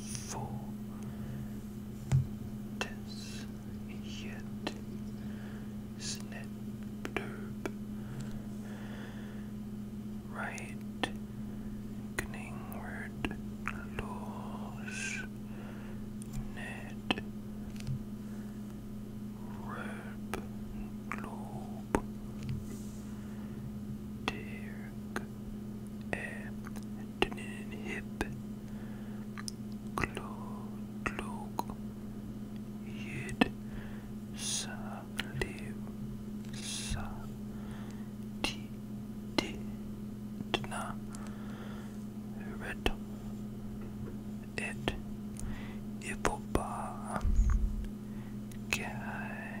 full this yet snip derp right kningward lose net Rope globe Dear hip Glog Yid Saliv Sa Ti Dna Red It Ipoba Kai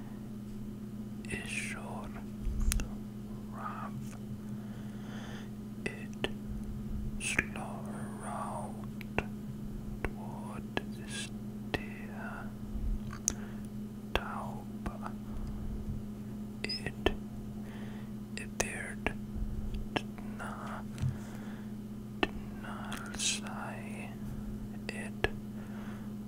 Ishor Rav it slowed toward the steer Tauba it appeared Dna Dnalsai it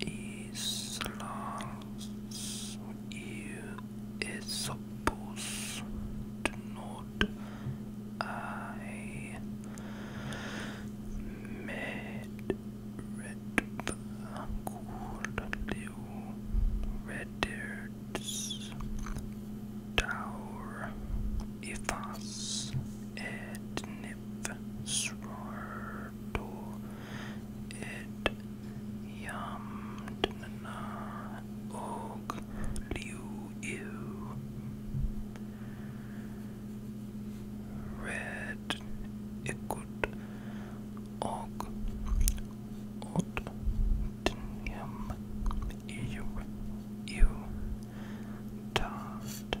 il est supposé not, I made red gold blue red tower if us et nip swar to it yam dnana og liu ew red ikut og ot dnyam ew ew Taft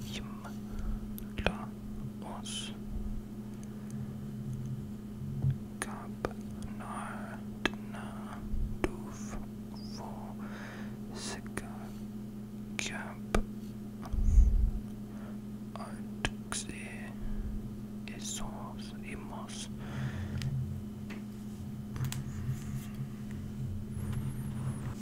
himla oss. Kappnördna dov få sicka kapp artxi isos imos.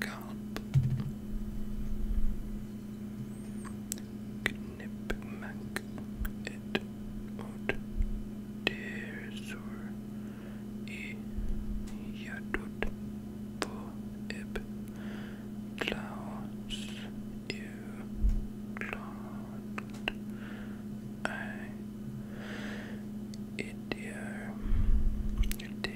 Gulp. Knip mac it out. Dear sore e yadut for ib. you cloud. I. It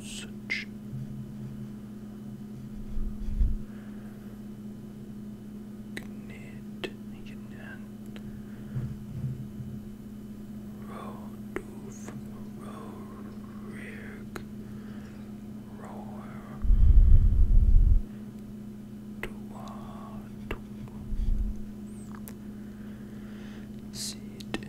such. Knit, Rodolf, Rorig, Roar, Tuat, Seed,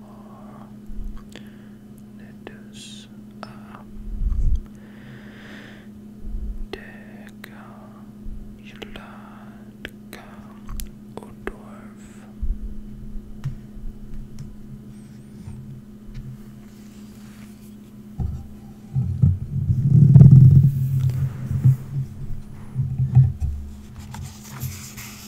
more. Let us uh, take Yulatka or dwarf.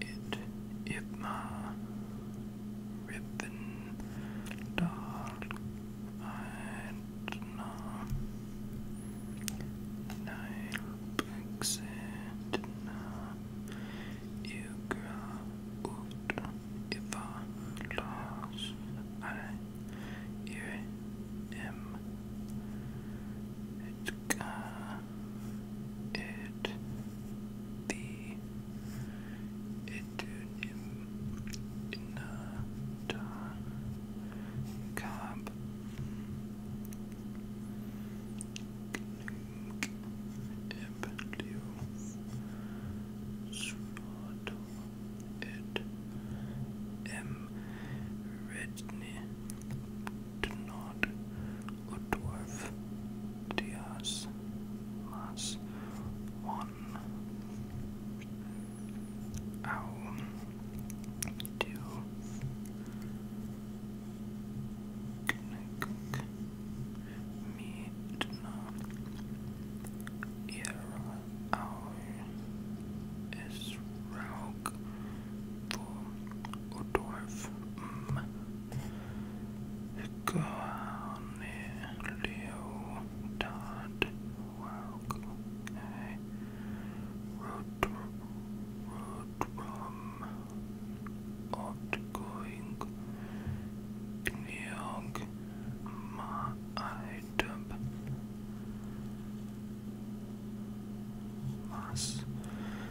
it Ibma Ribbon Dog Idna Nilbexitna Igra Ut Iva Los I Ir M uh, it the it in the cab it M. Redney did not Ludworth, Diaz, Mas, one, two, Knick, Me, Dna, Era, Ow, for Udorf M. Leo Dodd Walk A. Rodrum Outgoing Neog Ma Idub Mas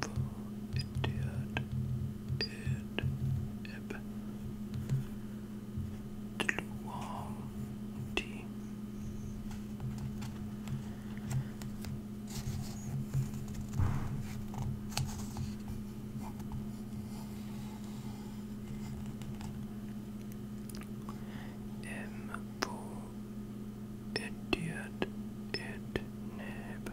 for India and Eb for idiot, it nib,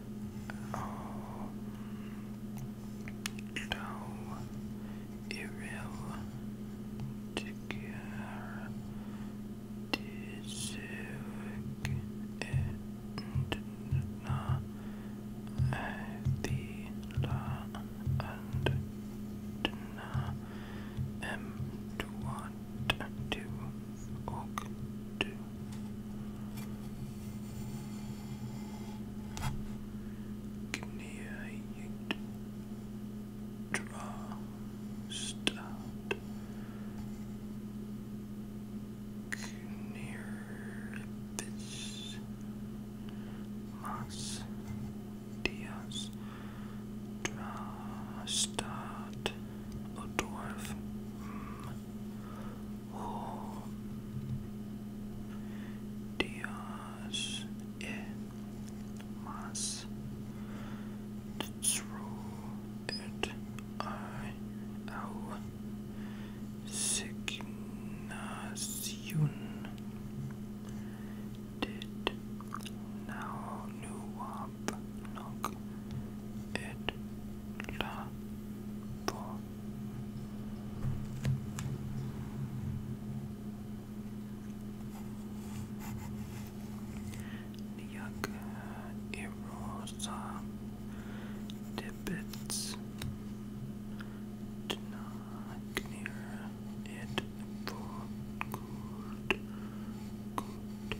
Oh no, Ariel, Tigar, Tizuk, Entna, Avila, and Dna, M. Tuan, two, oak, two. Kneat, draw, start. Knirpis, mas, dias, draw, start. A Oh, Dios es más truet I au signación did now new up knock it la do jak erosa debits do not near for good good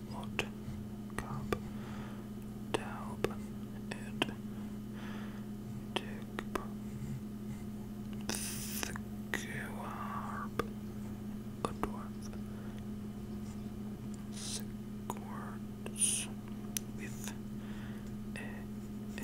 Lot, Cap, Daublin, Ed, Digb, Thgwarb, a dwarf, Sigwards, with a, a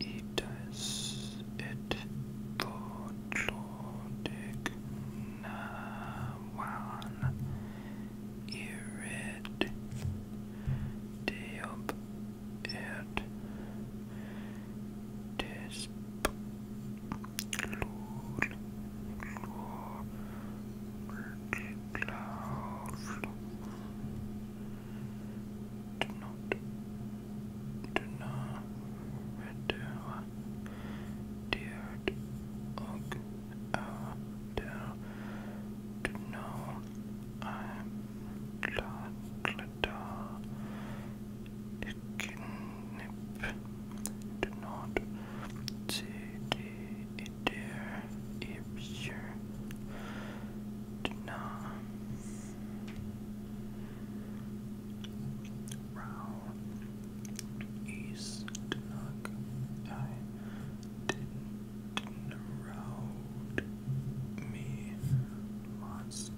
It is a Potlodik Nawan Irid Deop It Dyrt och öder du nå är glada knip du nåd till det idéer i björ du nå Row East Knock. I didn't round me Moss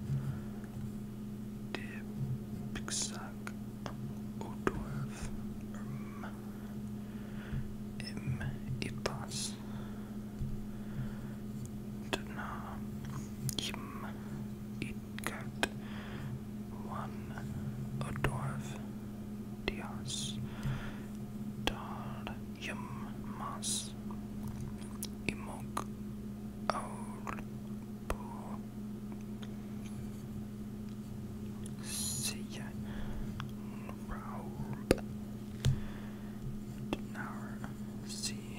Dipsack Odorf Erm um, Im Ipas Dna Yim Itkat One Odorv Dias Dar Yim Mas Imok Aul Bu Siya Raub Dnar See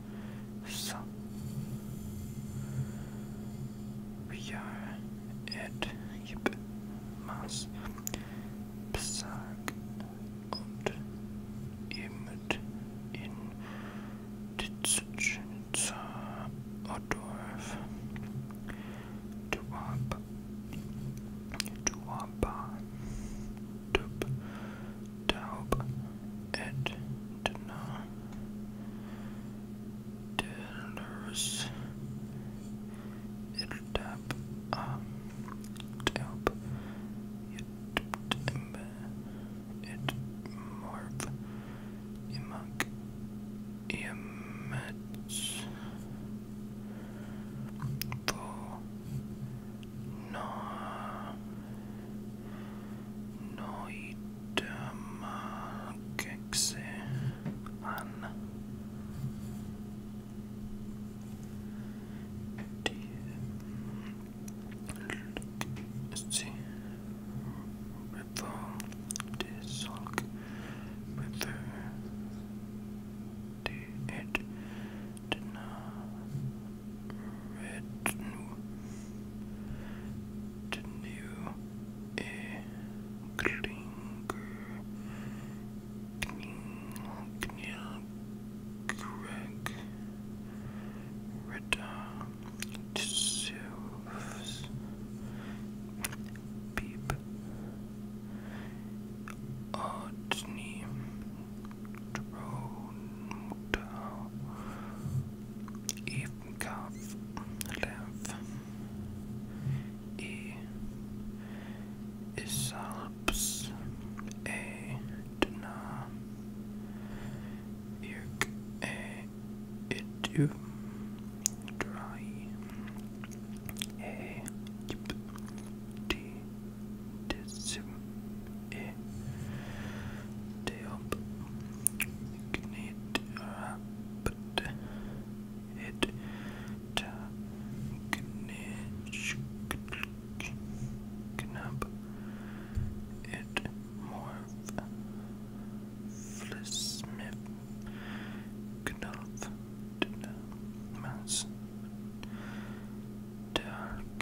So we are at yep, Mass Besag und Emmet in Ditzschnitzer Odorf Duwaba Duwaba Taub, Taub, et Dna, Delus, Iltab, A, Taub, Itb, It Morv, Imag, Iamets, Vo, no noitamalkeksi anna Lykksi River Dissolk River Did it Did um, not Retinue e Klinger Knil Greg Rita Tissues Beep Odney Toronto, Evenkov, Lev, E. Isalps, A. Dna, Irk, A. Dry, A. Yip, تسمئة تيوب كنيت رابط إد تا كنيش كناب إد مورف فلسمب Knopf, Dinner, Mouse, Dark,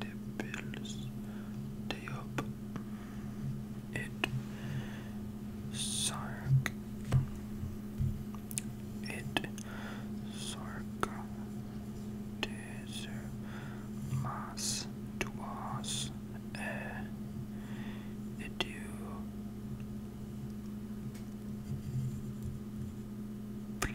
the bills they up it sark it sark desert mass to us it you Ple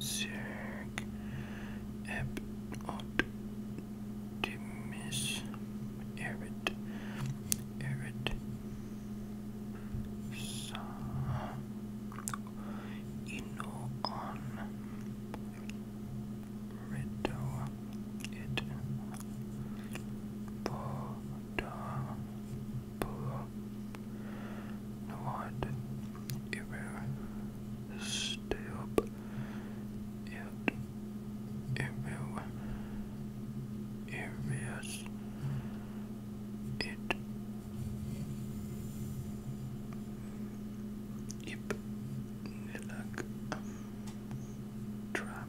Sehr optimis Erit Erit Sa Ino on Rito it Boda pull no what it will it will it will it Yep, like um, trap,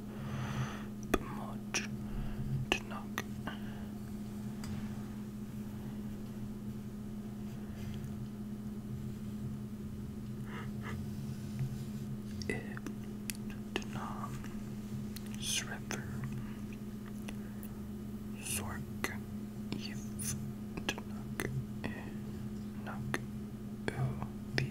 B'mod Tanakh. Ibtanam Srever Zork Yivtanuk Nuk O the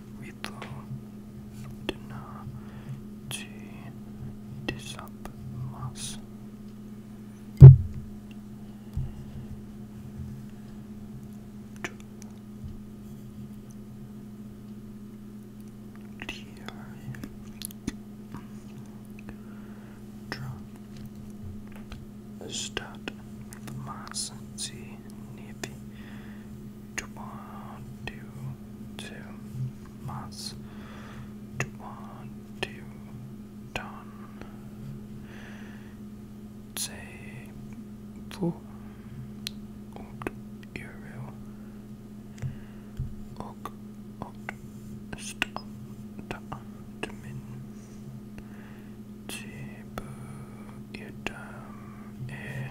vidlodna či disapmas. Statt Maßen sie Nevi twenty-two months, twenty done. Say four und Euro och och min Tibu Idam E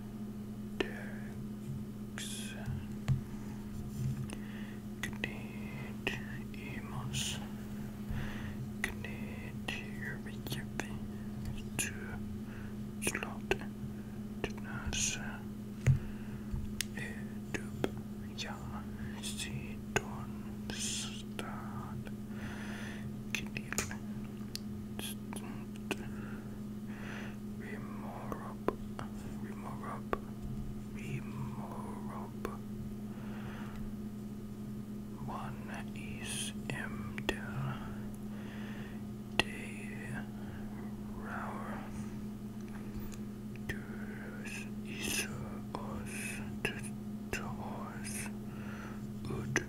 Knitemos, knit your to slot, tenas, edup, ja, sidon, stad, knit, stunt, Remorob, Remorob, Remorob. One is Emda De Raur. Turus is Os Tors Ud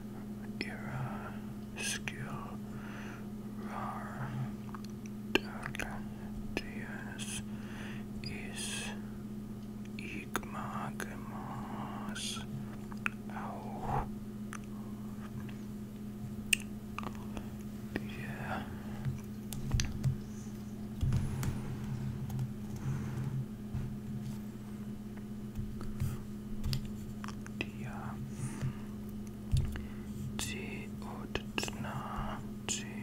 Era Skill. Dardantius is Igmagemas auch. Yeah. Kia Ci odtna Ci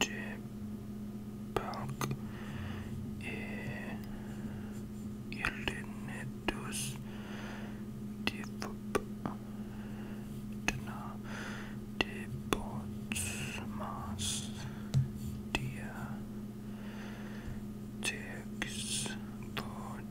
Cipelk E Ilinetus Divup Dna Dibotsmas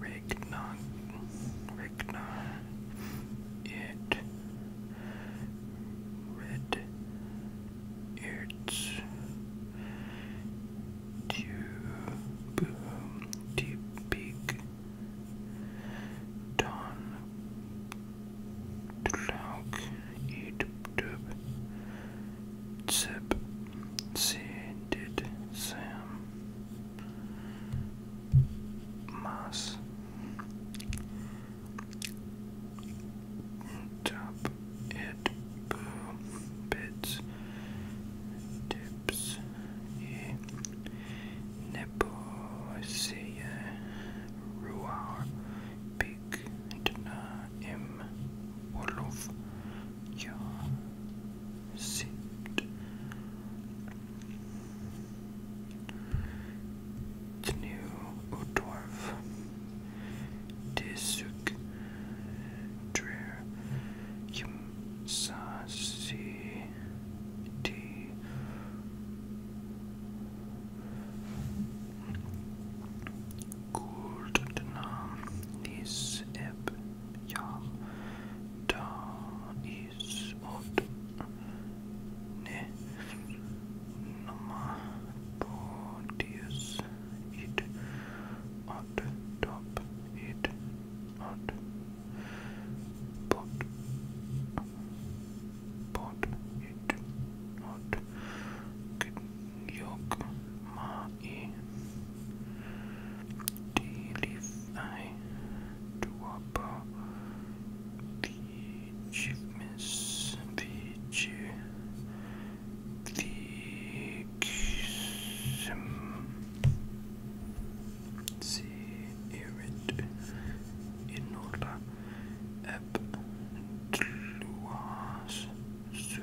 Regna, Regna, it, red, it's, tube, deep, big, don, Tlauk, Edub, Zip, see, did Sam, Mas, Top, It, Boo, Bits, Tips, E, Neposia, Ruar, Big, Dana, M, Wolf, your seat. The new dwarf, Tisuk Dreer, Yim Sasi T. Gold Nam Nis Eb ya is ot ne nama podius it ot top it ot pot pot it ot Yogmai Dilifai Dwapa Vichivmis Vichi Viksim Zirit Inola Eb Tluas Su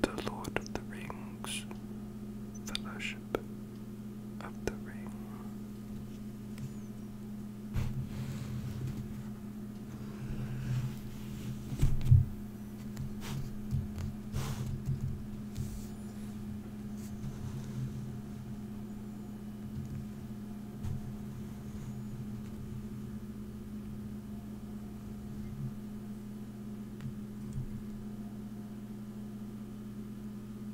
the Lord of the Rings Fellowship. Worship of the Ring.